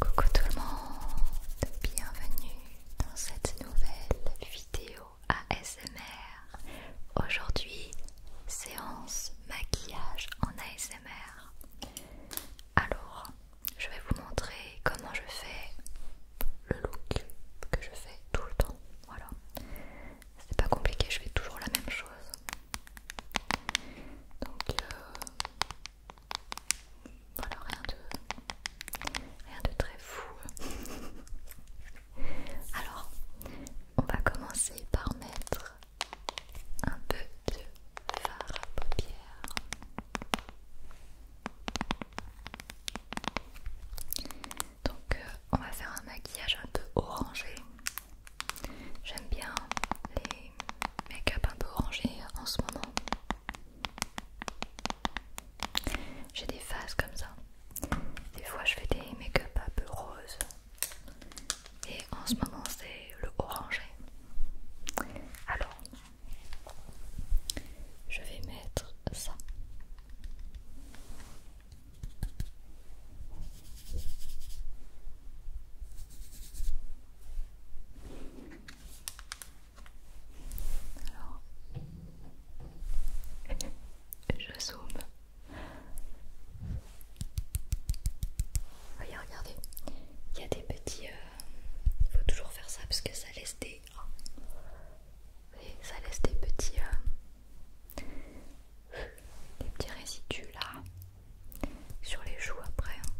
Coucou tout le monde, bienvenue dans cette nouvelle vidéo ASMR. Aujourd'hui, séance maquillage en ASMR. Alors, je vais vous montrer comment je fais le look que je fais tout le temps. Voilà, c'est pas compliqué, je fais toujours la même chose. Donc, euh, voilà, rien de, rien de très fou. Alors, on va commencer par mettre un peu de fard à paupières. Donc, euh, on va faire un maquillage un peu orangé. J'aime bien les make-up un peu orangé en ce moment. J'ai des phases comme ça. Des fois je fais des make-up un peu roses. Et en ce moment c'est le orangé. Alors, je vais mettre ça. Alors, je zoome. Voyez, regardez, il y a des petits. Il euh, faut toujours faire ça parce que ça laisse des. Oh, ça laisse des petits. Euh, des petits résidus là sur les joues après. Hein.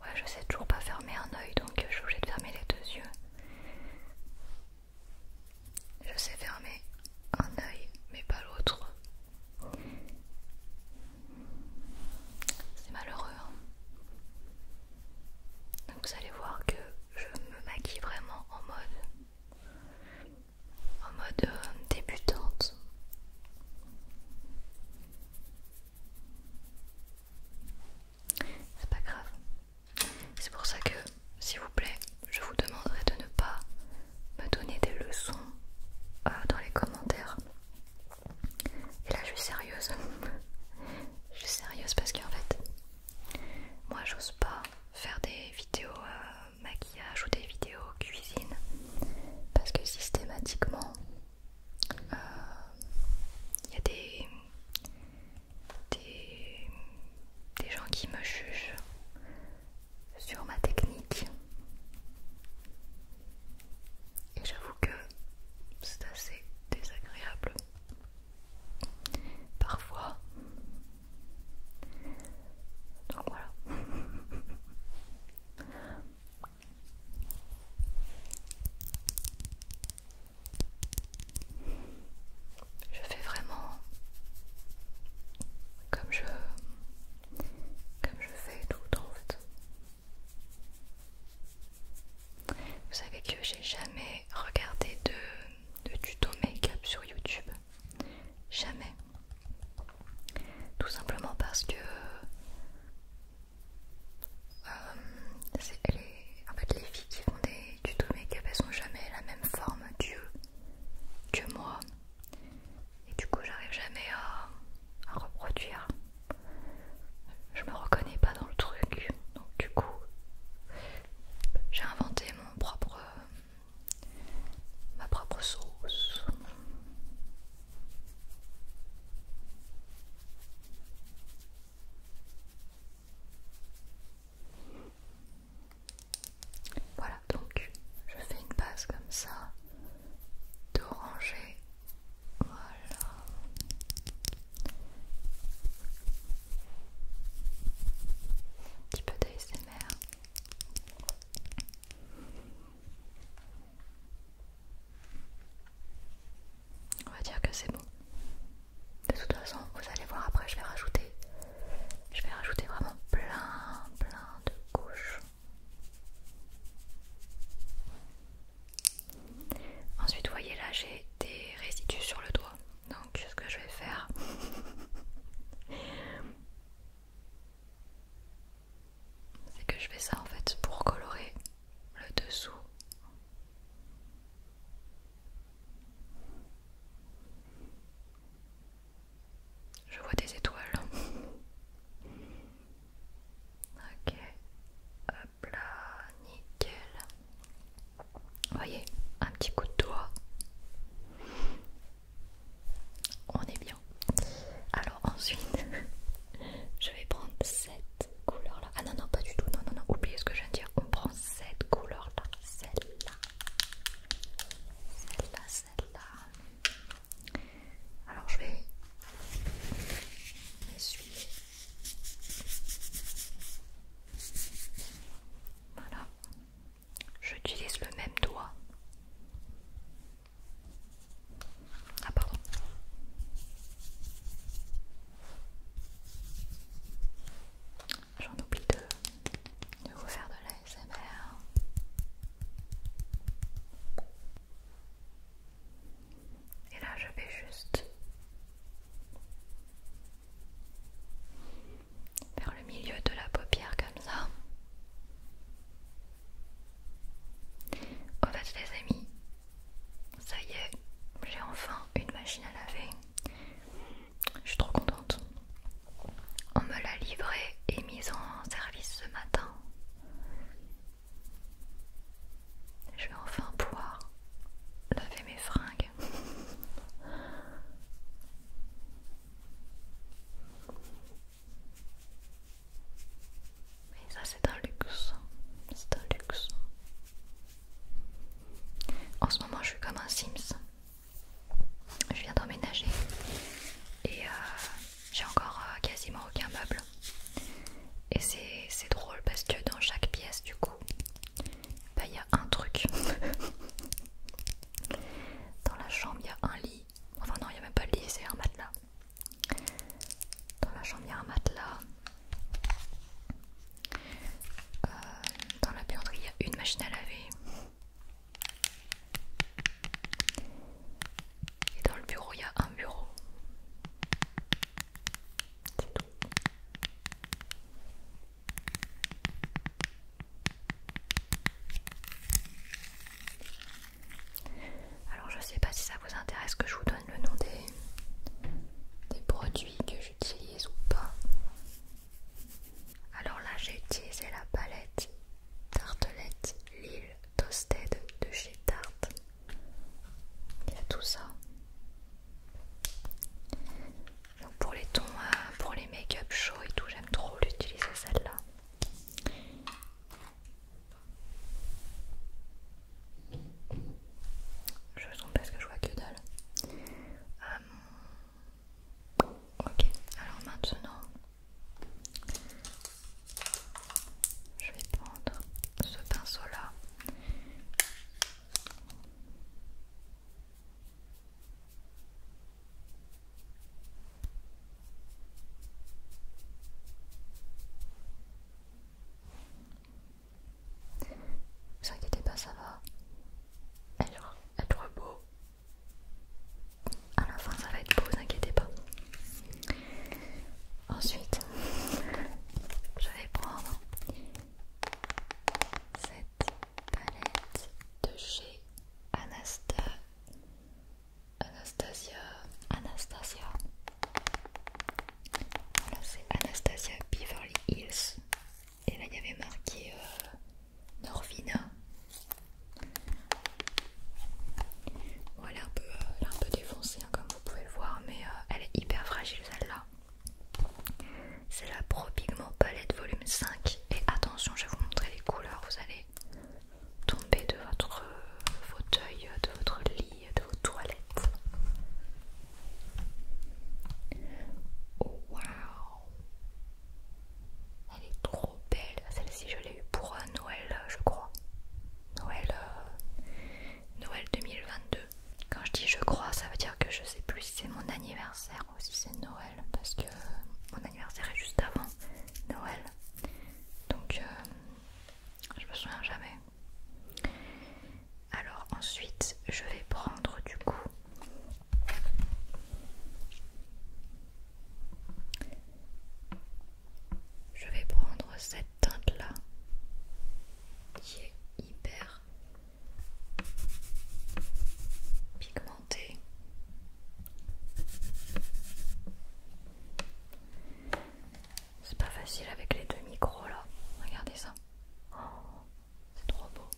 Ouais, je sais toujours pas fermer un oeil, donc je suis obligée de fermer les deux yeux. Je sais fermer un oeil, mais pas l'autre. C'est malheureux. Hein. donc vous allez voir que je me maquille vraiment en mode en mode euh, débutante. C'est pas grave. C'est pour ça que, s'il vous plaît, je vous demanderai de ne pas me donner des leçons euh, dans les commentaires. Et là, je suis sérieuse. je suis sérieuse parce qu'en fait, moi j'ose pas faire des vidéos euh, maquillage ou des vidéos cuisine parce que systématiquement euh, il y a des gens qui me jugent sur ma technique et j'avoue que c'est assez désagréable parfois. Donc voilà. Je fais vraiment comme je comme je fais tout en fait. Vous savez que j'ai jamais regardé de de tuto make-up sur YouTube. Jamais. Tout simplement parce que euh, les, en fait, les filles qui font des tutos make-up, elles sont jamais la même forme que, que moi. Et du coup, j'arrive jamais à reproduire. Je me reconnais pas dans le truc. Donc, du coup, j'ai inventé mon propre ma propre sauce. Voilà, donc je fais une base comme ça d'oranger. Voilà. Un petit peu d'ASMR. On va dire que c'est bon. De toute façon, vous allez voir après, je vais rajouter. Je vais rajouter vraiment plein, plein de couches. Ensuite, vous voyez là, j'ai des résidus sur le doigt. Donc ce que je vais faire... C'est que je fais ça en fait pour colorer le dessous. Je vois des étoiles. Ok. Hop là, nickel. Voyez, un petit coup de doigt. On est bien. Alors ensuite, je vais prendre cette couleur là. Ah non, non, pas du tout. Non, non, non, oubliez ce que je viens de dire. On prend cette couleur là. Celle-là. Celle-là, celle-là. Alors je vais essuyer. Voilà. J'utilise le même doigt. Ah pardon. J'en oublie de, vous faire de la Et là je vais juste vers le milieu de la paupière comme ça. Oh, Au fait les amis, ça y est, j'ai enfin une machine à laver. Je suis trop contente. On me l'a livrée et mise en service ce matin. Je vais enfin pouvoir laver mes fringues mais ça c'est un luxe, c'est un luxe. En ce moment je suis comme un Sims. Je viens d'emménager et euh, j'ai encore euh, quasiment aucun meuble. Et c'est drôle parce que dans chaque pièce du coup, bah il y a un truc. Dans la chambre, il y a un lit. Enfin non, il n'y a même pas de lit, c'est un matelas. Dans la chambre, il y a un matelas. Euh, dans la buanderie, il y a une machine à laver. Et dans le bureau, il y a un bureau. C'est tout. Alors je sais pas si ça vous intéresse que je vous donne le nom des, des produits que j'utilise ou pas. Alors là j'ai utilisé la palette tartelette Lille Toasted de chez Tarte. Il y a tout ça pour les tons, euh, pour les make-up chauds et tout, j'aime trop l'utiliser celle-là. Je me pas parce que je vois que dalle. Euh, ok, alors maintenant, je vais prendre ce pinceau-là. Vous inquiétez pas, ça va être, être beau. À la fin, ça va être beau, vous inquiétez pas. Ensuite, je vais prendre cette palette de chez Anastasia Anastasia. Anastasia. Voilà, c'est Anastasia Beverly Hills. Et là, il y avait marqué euh, Norvina. Bon, euh, elle, est un peu, un peu défoncée, hein, comme vous pouvez le voir, mais euh, elle est hyper fragile celle-là. C'est la Pro Pigment Palette volume 5 et attention je vais vous montrer les couleurs, vous allez tomber de votre euh, fauteuil, de votre lit, de vos toilettes. Oh, Elle est trop belle, celle-ci je l'ai eue pour euh, Noël je crois. Noël, euh, Noël 2022. Quand je dis je crois, ça veut dire que je sais plus si c'est mon anniversaire aussi c'est Noël parce que mon anniversaire est juste avant Noël donc euh, je me souviens jamais alors ensuite je vais prendre du coup je vais prendre cette teinte là qui est hyper pigmenté. C'est pas facile avec les deux micros là. Regardez ça. Oh, c'est trop beau.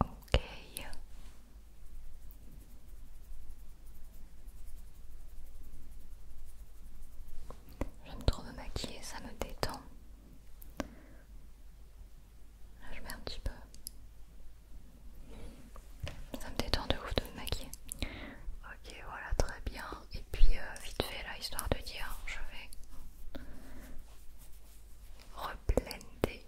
Ok. J'aime trop me maquiller, ça me détend. je mets un petit peu ça me détend de ouf de me maquiller. Ok, voilà, très bien. Et puis, euh, vite fait, là, histoire de dire, je vais reblender.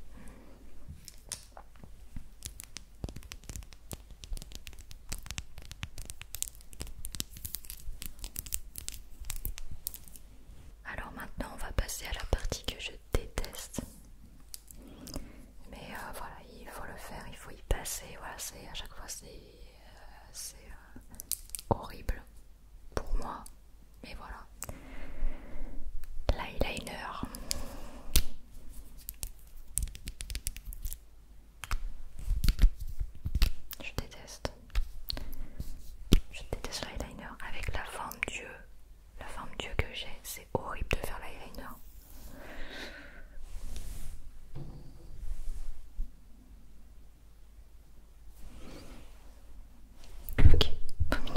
Alors maintenant, on va passer à la partie que je déteste. Mais euh, voilà, il faut le faire, il faut y passer. Voilà, c'est à chaque fois c'est euh, euh, horrible pour moi. Mais voilà. L'eyeliner. Je déteste. Je déteste l'eyeliner avec la forme d'yeux la forme dieu que j'ai, c'est horrible de faire l'eyeliner. Ok, voilà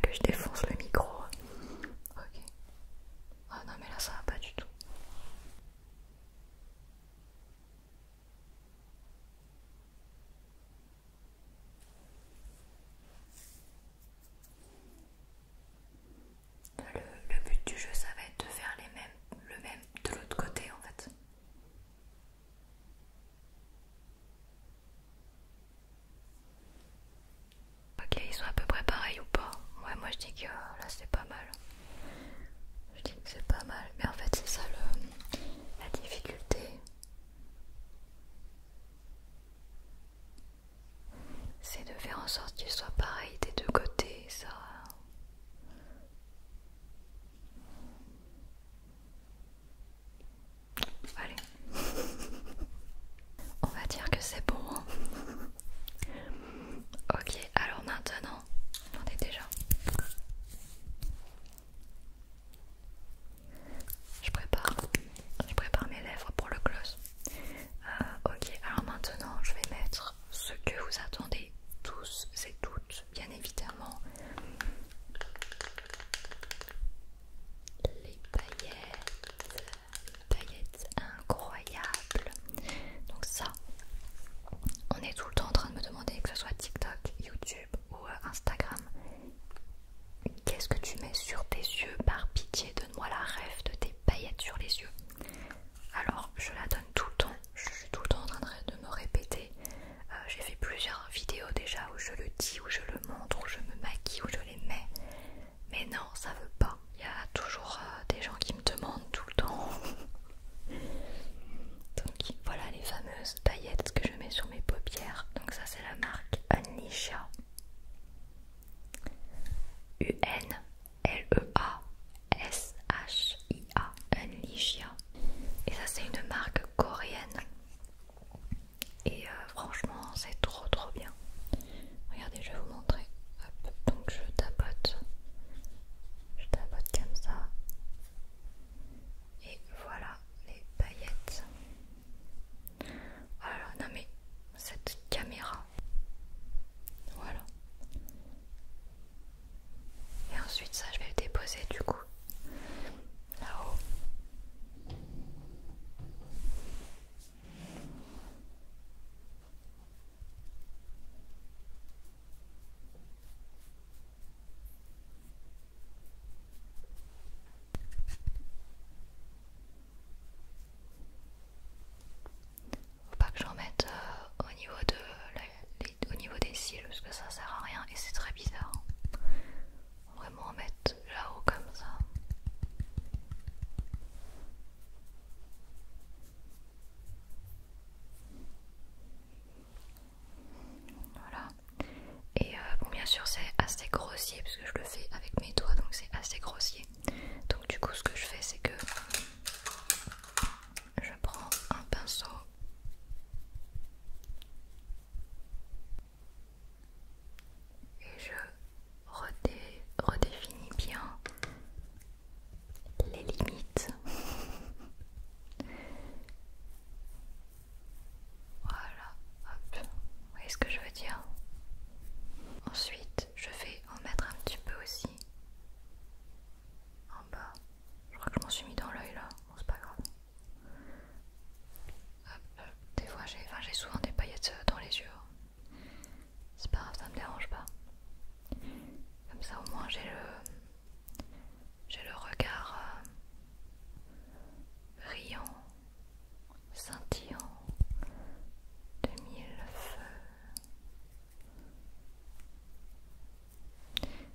que je défonce le micro. Ok. Ah non mais là ça va pas du tout. Le, but du jeu, ça va être de faire les mêmes, le même de l'autre côté en fait. Ok, ils sont à peu près pareils ou pas Ouais, moi je dis que oh là c'est pas mal. Je dis que c'est pas mal, mais en fait c'est ça le, la difficulté c'est de faire en sorte qu'il soit pareil des deux côtés, ça. Allez, on va dire que c'est bon. Hein. ok, alors maintenant, on déjà. Je prépare, je prépare mes lèvres pour le gloss. Euh, ok, alors maintenant je vais mettre ce que vous attendez tous et toutes, bien évidemment. Les paillettes, paillettes incroyables. Donc ça, on est tout le temps en train de me demander que ce soit TikTok, YouTube ou euh, Instagram. Qu'est-ce que tu mets sur tes yeux Par pitié, donne-moi la rêve de tes paillettes sur les yeux. Alors, je la donne tout le temps. Je suis tout le temps en train de me répéter. Euh, j'ai fait plusieurs vidéos déjà où je le dis, où je le montre, où je me maquille, où je les mets. Mais non, ça veut pas. Il y a toujours euh, des gens qui me demandent tout le temps. Donc voilà les fameuses paillettes que je mets sur mes paupières. Donc ça c'est la marque Anisha u l e a s h i a Unleashia. Et ça, c'est une marque coréenne. Et euh, franchement, c'est trop trop bien. Regardez, je vais vous montrer. Donc, je tapote. Je tapote comme ça. Et voilà les paillettes. Voilà, oh non mais cette caméra. Voilà. Et ensuite ça je vais le déposer du coup. Là-haut. Faut pas que j'en mette euh, au, niveau au niveau des cils parce que ça sert à rien et c'est très bizarre. Hein. vraiment en mettre là-haut comme ça. Voilà. Et euh, bon, bien sûr, c'est assez grossier parce que je le fais avec mes doigts, donc c'est assez grossier. Donc, du coup, ce que je fais, c'est que je prends un pinceau. Et je redéfinis bien les limites. Voilà, hop. Vous voyez ce que je veux dire Ensuite, je vais en mettre un petit peu aussi en bas. Je crois que je m'en suis mis dans l'œil là, bon c'est pas grave. Des fois j'ai enfin, souvent des paillettes euh, dans les yeux. Hein. C'est pas grave, ça me dérange pas. Comme ça au moins j'ai le j'ai le regard euh, riant scintillant de feux.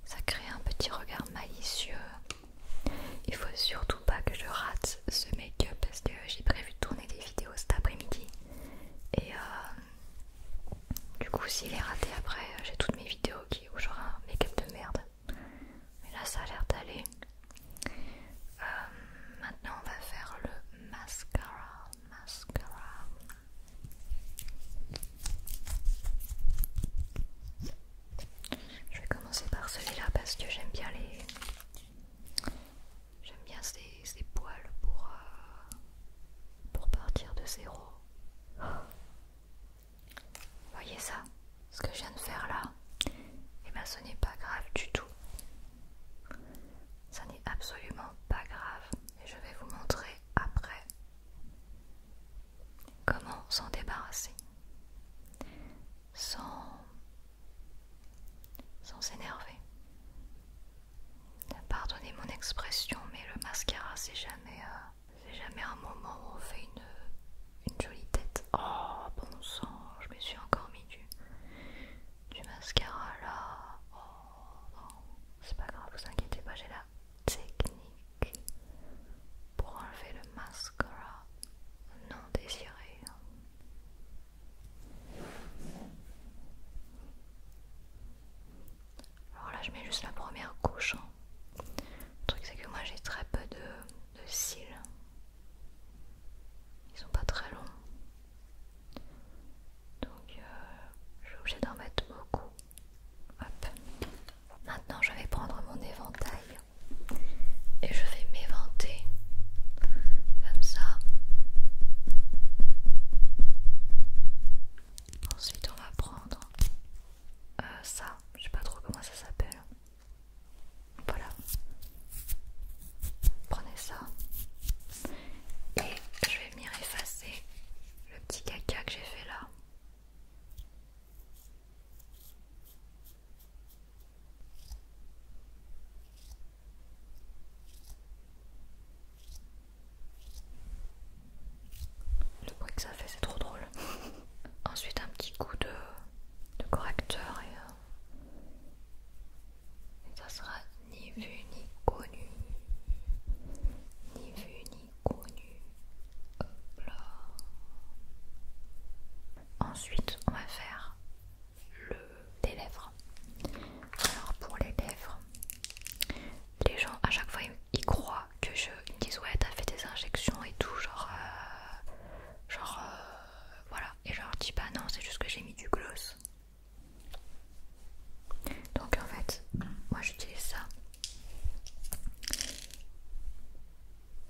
Ça crée un petit regard malicieux. Il faut surtout pas que je rate ce make-up parce que j'ai prévu de tourner des vidéos cet après-midi. Et euh, du coup, s'il est raté après, j'ai toutes mes vidéos qui, où j'aurai un make-up de merde. Mais là, ça a l'air d'aller. Euh, maintenant, on va faire le mascara. Mascara. Je vais commencer par celui-là parce que j'aime bien les. J'aime bien ces, poils pour, euh, pour partir de zéro. Vous voyez ça ce que je viens de faire là, et eh ben bien ce n'est pas grave du tout. Ça n'est absolument pas grave. Et je vais vous montrer après comment s'en débarrasser. Sans sans s'énerver. Pardonnez mon expression, mais le mascara c'est jamais, euh, c'est jamais un moment où on fait une une jolie tête. Oh bon sang, je me suis encore mis du, mascara là. Oh non, c'est pas grave, vous inquiétez pas, j'ai la technique pour enlever le mascara non désiré. Alors là, je mets juste la première couche. Hein. Le truc, c'est que moi j'ai très peu de cils. Ils sont pas très longs. Donc euh, je suis obligée d'en mettre beaucoup. Maintenant je vais prendre mon éventail et je vais m'éventer comme ça. Ensuite on va prendre euh, ça, je sais pas trop comment ça s'appelle. Voilà. Prenez ça. Et je vais venir effacer le petit caca que j'ai fait là. Le bruit que ça fait, c'est trop drôle. Ensuite, un petit coup de, de correcteur et euh, ça sera ni vu ni connu. Ni vu ni connu. Hop là. Ensuite, on va faire le des lèvres. Alors pour les lèvres, les gens à chaque fois ils croient que je ils me ouais t'as fait des injections et tout genre euh, genre euh, voilà, et je leur dis bah non, c'est juste que j'ai mis du gloss. Donc en fait, moi j'utilise ça.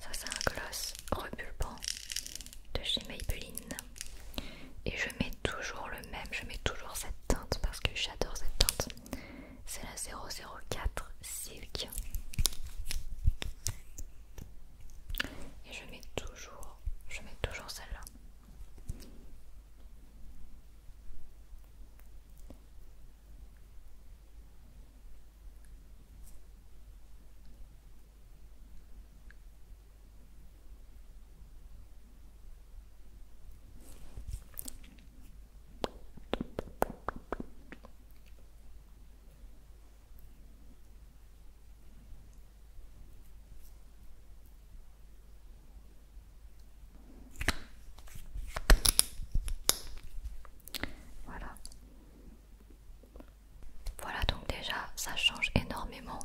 Ça c'est un gloss repulpant de chez Maybelline. Et je mets toujours le même, je mets toujours cette teinte parce que j'adore cette teinte. C'est la 004 Silk et je mets toujours je mets toujours celle-là voilà. Voilà donc déjà ça change énormément.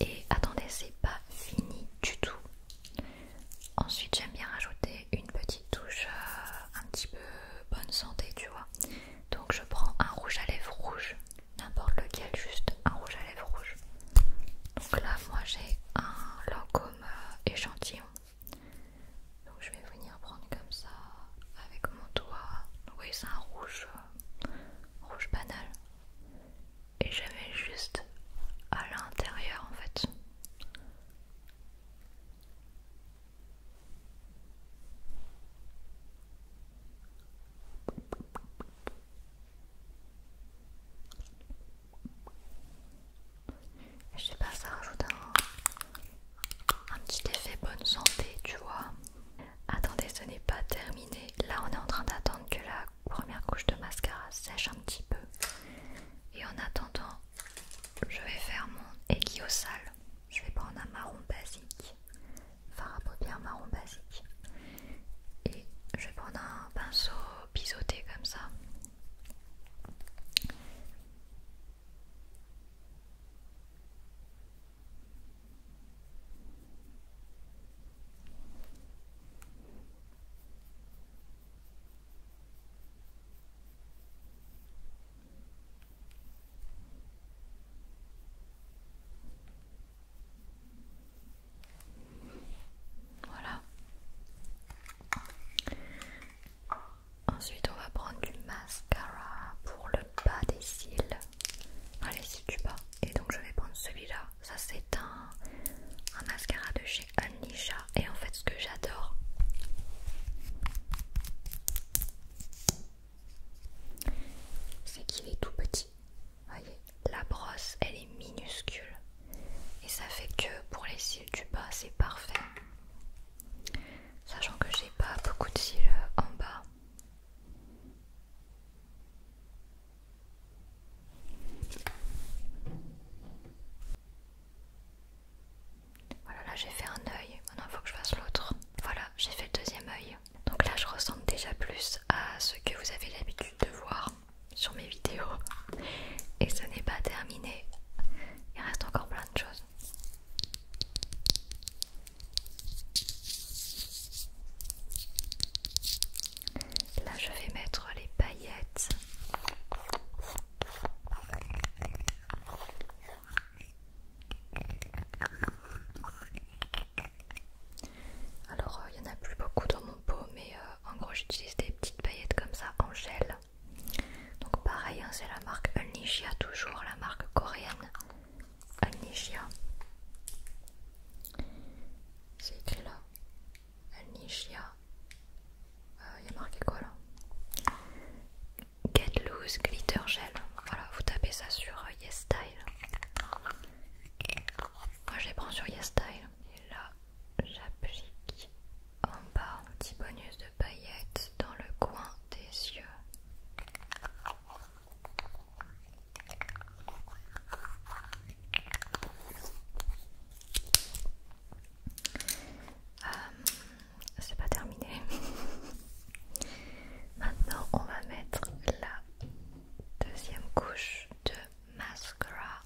Et attendez, c'est pas fini du tout. Ensuite j'aime bien rajouter une petite touche euh, un petit peu bonne santé, tu vois. Donc je prends un rouge à lèvres rouge, n'importe lequel, juste un rouge à lèvres rouge. Donc là, moi j'ai un Lancôme euh, échantillon. Donc je vais venir prendre comme ça avec mon doigt. Oui, c'est un rouge, euh, rouge banal. Et je mets juste à l'intérieur en fait. Je sais pas, ça rajoute un, petit effet bonne santé, tu vois. Attendez, ce n'est pas terminé. Là, on est en train d'attendre que la première couche de mascara sèche un petit peu. Et en attendant, je vais faire mon aiguille au sale je vais prendre un marron basique, enfin à paupières marron basique, et je vais prendre un pinceau biseauté comme ça. Voilà. Ensuite, on va prendre du mascara pour le bas des cils. Allez, cils du bas. Et donc, je vais prendre celui-là. Ça, c'est un, un mascara de chez Anisha. Et en fait, ce que j'adore, c'est qu'il est tout petit. Voyez, la brosse, elle est minuscule. Et ça fait que pour les cils du bas, c'est parfait. Sachant que j'ai pas beaucoup de cils euh, en bas. Voilà, là j'ai fait un œil, maintenant il faut que je fasse l'autre. Voilà, j'ai fait le deuxième œil. Donc là je ressemble déjà plus à ce que vous avez l'habitude de voir sur mes vidéos. Et ce n'est pas terminé, il reste encore plein de choses. Là je vais mettre les paillettes. Alors il euh, y n'y en a plus beaucoup dans mon pot mais euh, en gros j'utilise des petites paillettes comme ça en gel. Donc pareil hein, c'est la marque Unleashia toujours, la marque coréenne Unleashia. C'est écrit là. Unleashia. Il euh, y a marqué quoi là Get Loose Glitter Gel. Voilà, vous tapez ça sur euh, Yes Style. Moi je les prends sur Yes Style. Et là, j'applique en bas un petit bonus de paillettes dans le coin des yeux. Euh, c'est pas terminé. Maintenant, on va mettre la deuxième couche de mascara.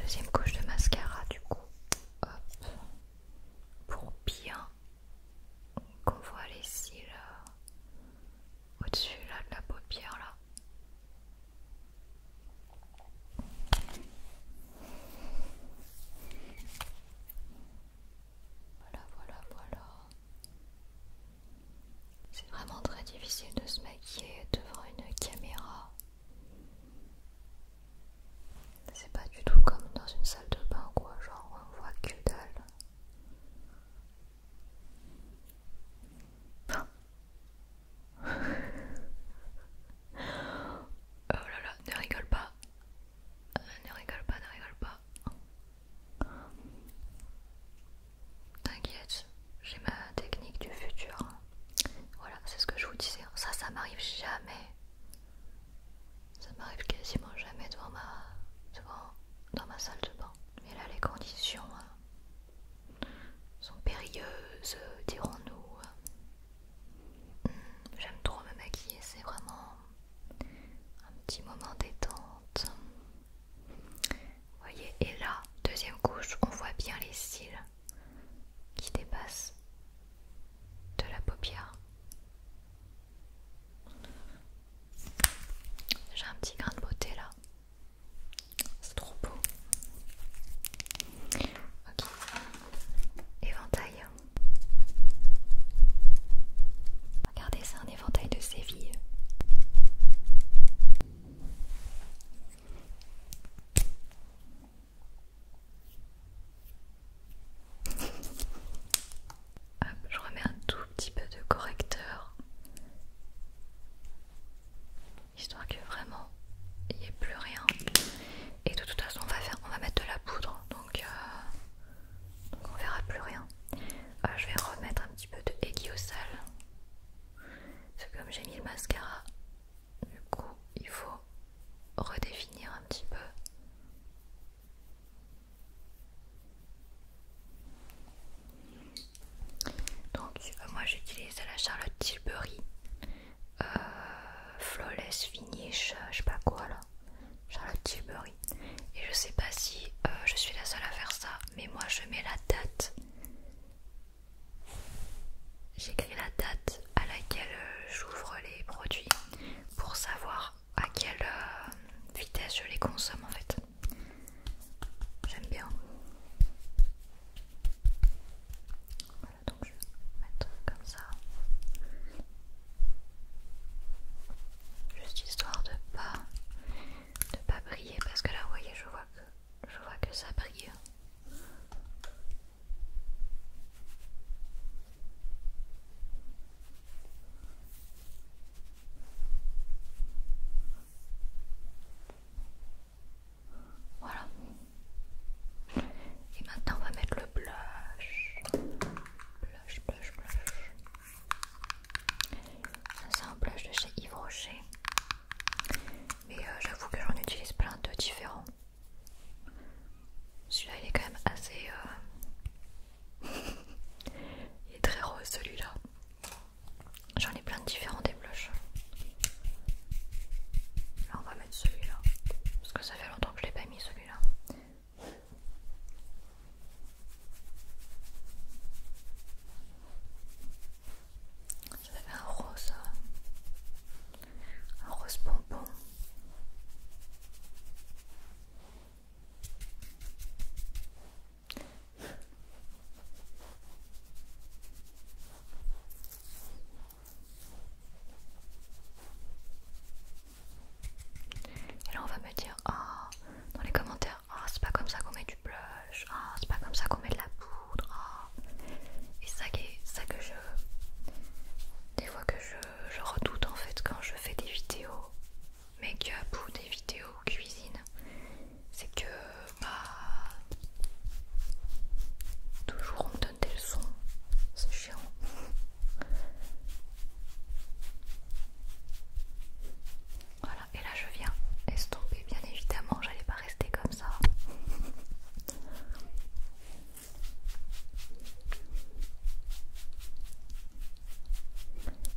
Deuxième couche de mascara, du coup, pour bien qu'on voit les cils euh, au-dessus de la paupière là. Voilà, voilà, voilà. C'est vraiment très difficile de se maquiller devant une caméra. C'est pas du tout comme dans une salle de bain quoi, genre on voit que dalle. oh là là, ne rigole pas. Euh, ne rigole pas, ne rigole pas. T'inquiète, j'ai ma technique du futur. Voilà, c'est ce que je vous disais. Ça, ça m'arrive jamais. Ça m'arrive quasiment jamais devant ma, dans ma salle de bain. Mais là, les conditions, hein sont périlleuses, dirons-nous. Hmm, j'aime trop me maquiller, c'est vraiment un petit moment détente. Voyez, et là, deuxième couche, on voit bien les cils qui dépassent de la paupière. J'ai un petit grain de beauté là. C'est trop beau. Éventail. Regardez, c'est un éventail de Séville. je remets un tout petit peu de correcteur histoire que vraiment il n'y ait plus rien et de toute façon on va, faire, on va mettre de la poudre donc, euh, on verra plus rien euh, je vais remettre un petit peu de aiguillosal parce que comme j'ai mis le mascara du coup il faut redéfinir un petit peu donc euh, moi j'utilise la Charlotte Tilbury euh, Flawless Finish, euh, je sais pas quoi là, Charlotte Tilbury. Et je sais pas si euh, je suis la seule à faire ça, mais moi je mets la date. J'écris la date à laquelle j'ouvre les produits pour savoir à quelle vitesse je les consomme en fait. J'aime bien donc je vais mettre comme ça. Juste histoire de pas de pas briller parce que là voyez je vois que je vois que ça brille. Voilà. Et maintenant on va mettre le blush. Blush, blush, blush. c'est un blush de chez Yves Rocher. Mais euh, j'avoue que j'en utilise plein de différents. Celui-là il est quand même assez... Euh, il est très rose celui-là. J'en ai plein de différents on va mettre celui-là. Parce que ça fait longtemps que je l'ai pas mis celui-là. Je un rose. Hein. Un rose bonbon. Et là on va me dire ah, dans les commentaires, ah c'est pas comme ça qu'on met du blush, ah c'est pas comme ça qu'on met de la poudre. ah Et ça, que je... Des fois que je, je redoute en fait quand je fais des vidéos make-up ou des vidéos cuisine, c'est que bah, toujours on me donne des leçons, c'est chiant. Voilà, et là je viens estomper, bien évidemment, j'allais pas rester comme ça.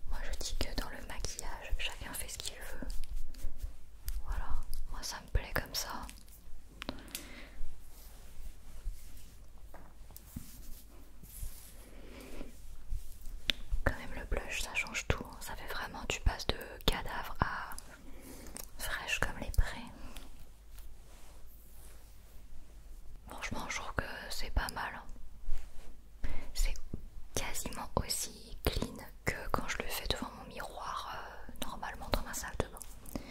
Moi je dis que dans le maquillage, chacun fait ce qu'il veut. Voilà, moi ça me plaît comme ça. Quand même le blush ça change tout, ça fait vraiment tu passes de cadavre à fraîche comme les prés. Franchement je trouve que c'est pas mal. Hein. C'est quasiment aussi clean que quand je le fais devant mon miroir euh, normalement dans ma salle de bain.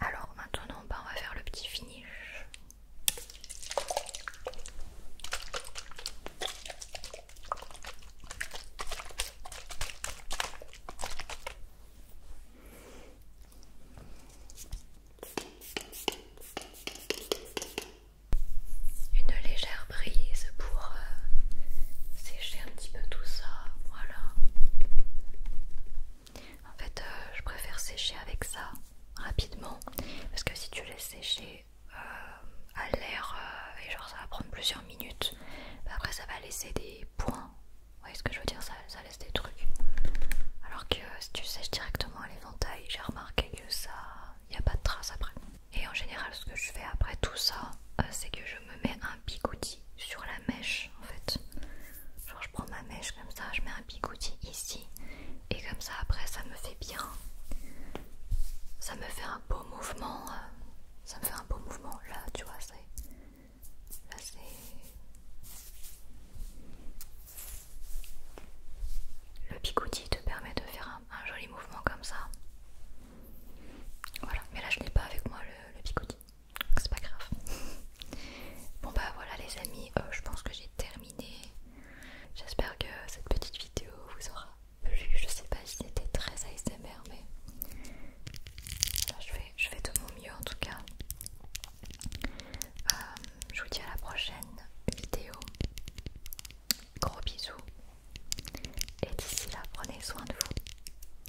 Alors maintenant ben, on va faire le petit finish. Une légère brise pour euh, sécher un petit peu tout ça, voilà. En fait, euh, je préfère sécher avec ça rapidement parce que si tu laisses sécher euh, à l'air euh, et genre ça va prendre plusieurs minutes, bah, après ça va laisser des points. Vous ce que je veux dire ça, laisse des trucs. Alors que si tu sèches directement à l'éventail, j'ai remarqué que ça, il n'y a pas de traces après. Et en général, ce que je fais après tout ça, c'est que je je me mets un picoutis sur la mèche en fait. Genre je prends ma mèche comme ça, je mets un picoutis ici et comme ça après ça me fait bien. Ça me fait un beau mouvement. Euh, ça me fait un beau mouvement là, tu vois, c'est là c'est le bigouti te permet de faire un, joli mouvement comme ça. Voilà, mais là je n'ai pas avec moi le, picoutis. C'est pas grave. Bon bah voilà les amis, euh, je pense que j'ai terminé. J'espère que cette petite vidéo vous aura plu. Je sais pas si c'était très ASMR mais je, fais, je de mon mieux en tout cas. Euh, je vous dis à la prochaine vidéo. Gros bisous. Et d'ici là, prenez soin de vous.